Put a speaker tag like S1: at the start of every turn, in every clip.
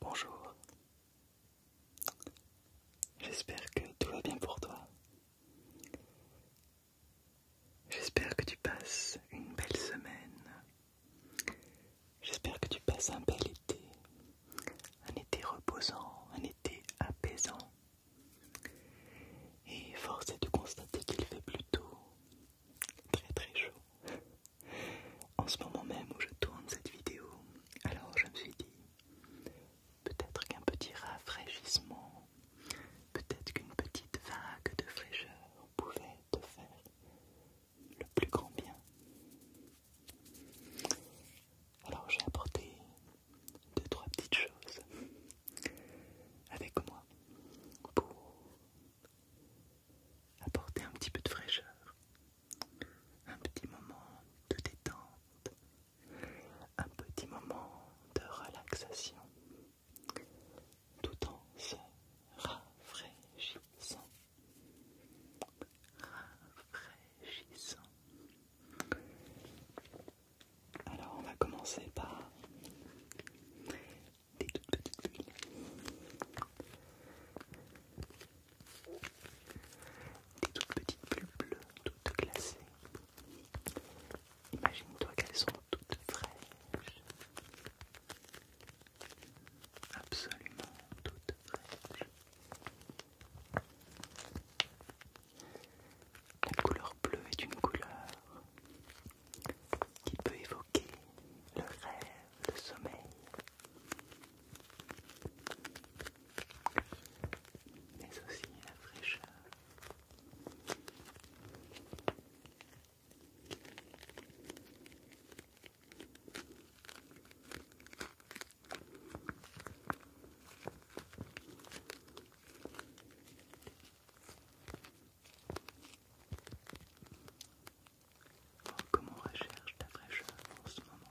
S1: Bonjour, j'espère que tout va bien pour toi. J'espère que tu passes une belle semaine. J'espère que tu passes un bel été. Un été reposant, un été apaisant. Et force est de constater qu'il fait plutôt très très chaud. En ce moment même où je tourne cette vidéo, alors je me suis dit, peut-être qu'un petit rafraîchissement, peut-être qu'une petite vague de fraîcheur pouvait te faire le plus grand bien. Alors j'ai apporté deux, trois petites choses avec moi pour apporter un petit peu de fraîcheur, un petit moment de détente, un petit moment de relaxation, tout en se rafraîchissant, rafraîchissant. Alors on va commencer par des toutes petites bulles. Des toutes petites bulles bleues, toutes glacées. Imagine-toi qu'elles sont toutes fraîches. Absolument toutes fraîches. La couleur bleue est une couleur qui peut évoquer le rêve, le sommeil. Mais aussi la fraîcheur. Oh, comment on recherche ta fraîcheur en ce moment.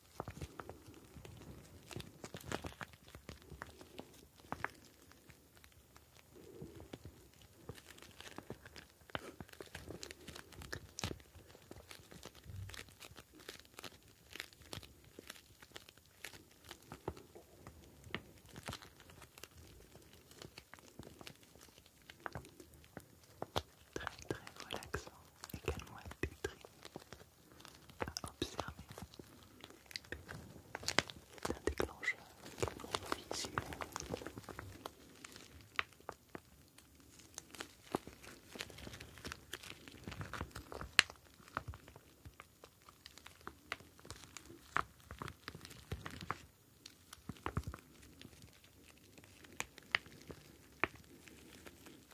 S1: Très très relaxant, également pétri à observer déclencheur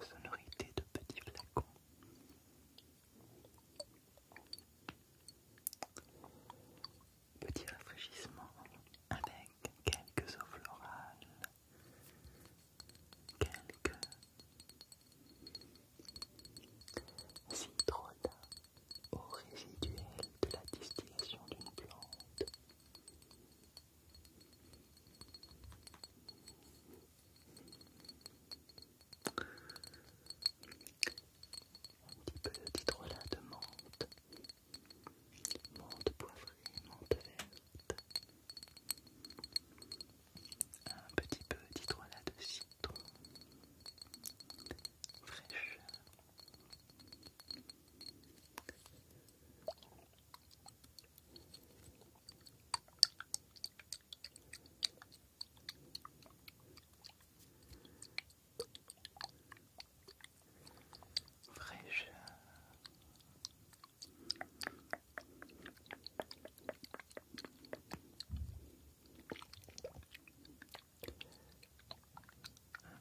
S1: Sonorité de petits flacons. Petit rafraîchissement avec quelques eaux florales quelques citronnats au résiduel de la distillation d'une plante. Un petit peu de citrona de menthe menthe poivrée, menthe verte, un petit peu d'hydrolat de citron fraîche. Un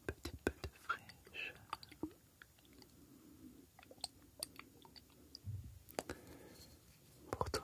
S1: petit peu de fraîche. Pour toi.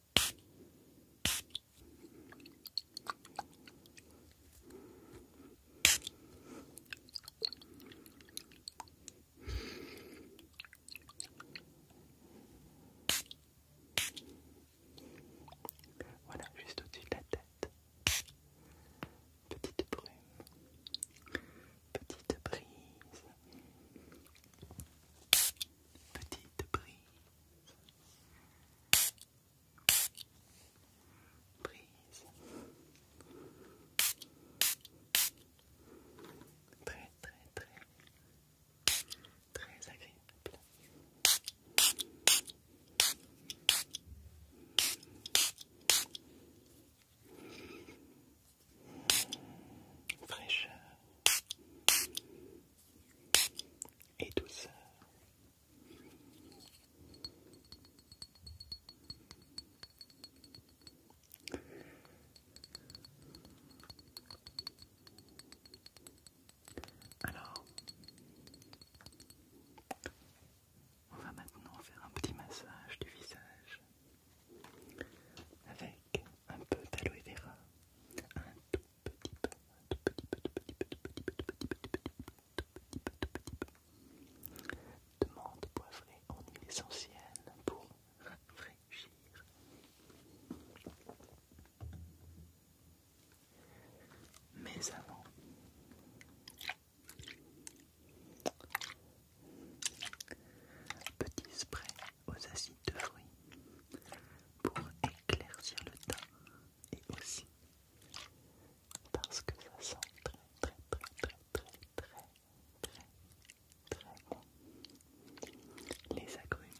S1: Voilà, juste au-dessus de la tête. Petite brume, petite brise petite brise. Brise. Très, très, très, très agréable fraîcheur et douceur. Alors, on va maintenant faire un petit massage du visage avec un peu d'aloe vera, un tout petit peu, un tout petit peu, tout petit peu, tout petit peu, tout petit peu, tout petit peu, tout petit peu. Demande poivrée en huile essentielle pour rafraîchir. Mais avant. Petit spray aux acides de fruits pour éclaircir le teint et aussi parce que ça sent très très très très très très très très bon les agrumes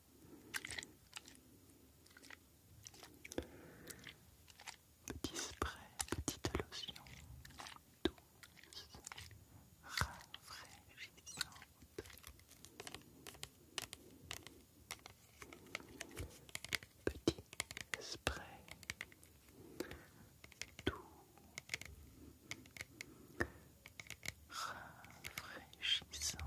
S1: Petit spray, petite lotion douce, rafraîchissante. Petit spray doux, rafraîchissant.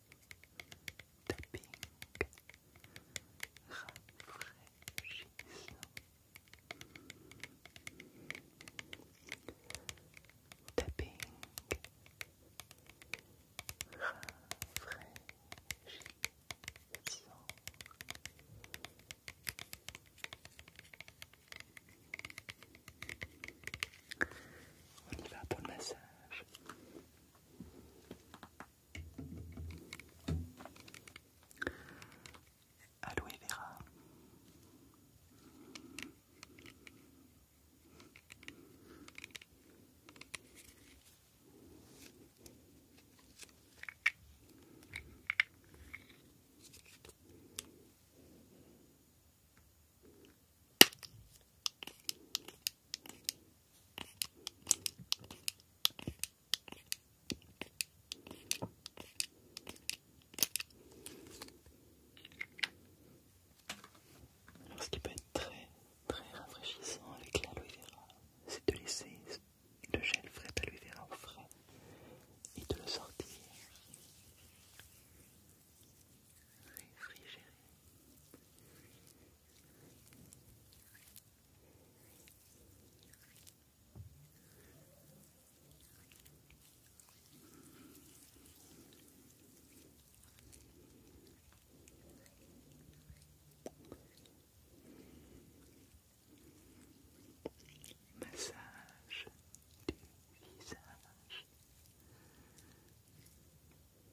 S1: tapping rafraîchissant on va pour le massage large. Aloe vera. Alors, ce qui peut être très très rafraîchissant avec l'aloe vera, c'est de laisser le gel frais d'aloe vera au frais et de le sortir réfrigéré. Massage du visage.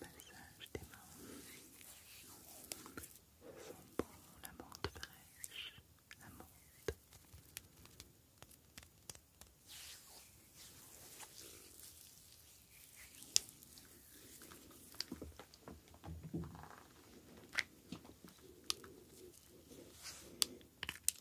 S1: Massage des mains. Sent bon la menthe fraîche, la menthe.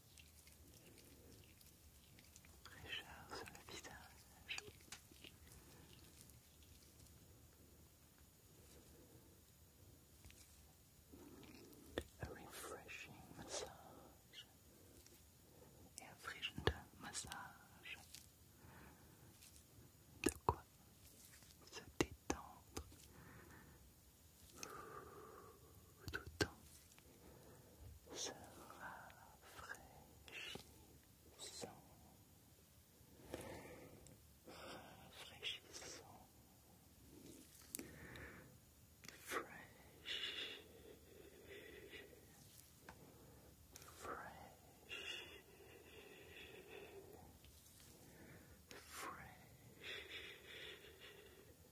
S1: Fraîcheur sur le visage. A refreshing massage. Erfrischender massage. De quoi se détendre tout le temps se rafraîchissant, rafraîchissant, fresh, fresh. Fresh,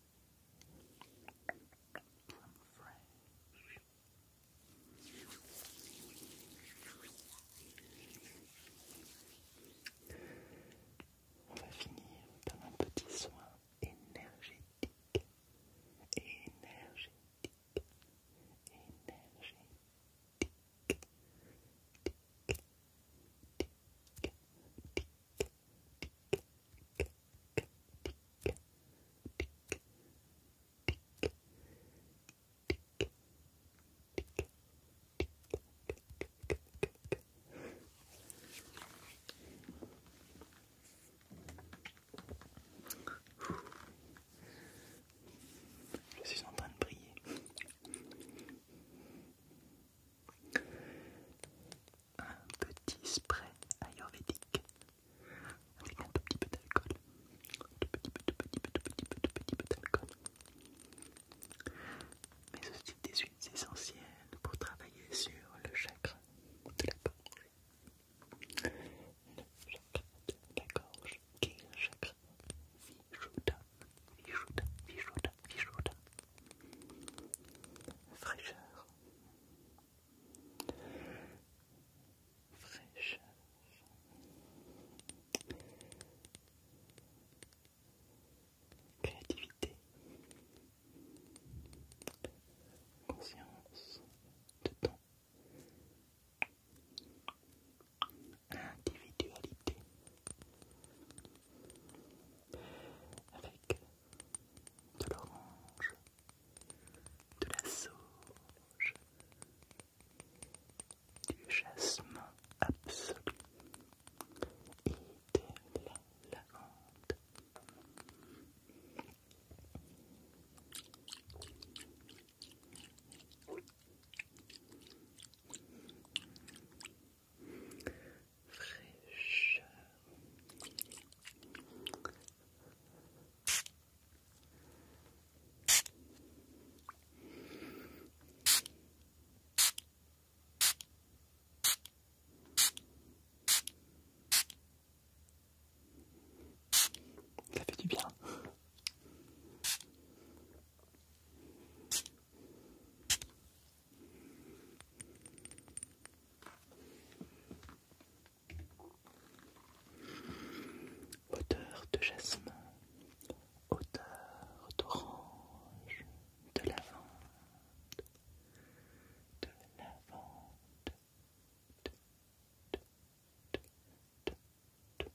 S1: On va finir par un petit soin énergétique, énergétique, énergétique, tic, tic, tic, je suis en train de briller un petit spray ayurvédique avec un petit peu d'alcool. un petit peu, de petit peu, de petit peu, petit peu d'alcool. Mais aussi des huiles essentielles pour travailler sur le chakra de la gorge. Le chakra de la gorge qui est le chakra Vishuddha, Fraîcheur, fraîcheur. Créativité, conscience de temps, individualité, avec de l'orange, de la sauge, du jasmin absolu et de la lavande fraîcheur. Ça fait du bien. Odeur de jasmin, odeur d'orange, de lavande, de lavande, de, de, de, de,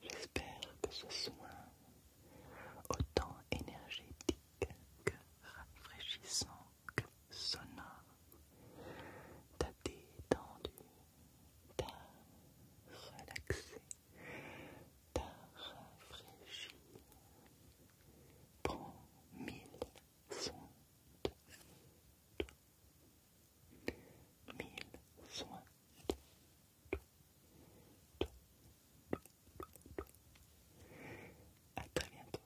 S1: J'espère que ce soin autant énergétique que rafraîchissant que sonore t'a détendu, t'a relaxé t'as rafraîchi. Prends mille soins Mille soins À très bientôt.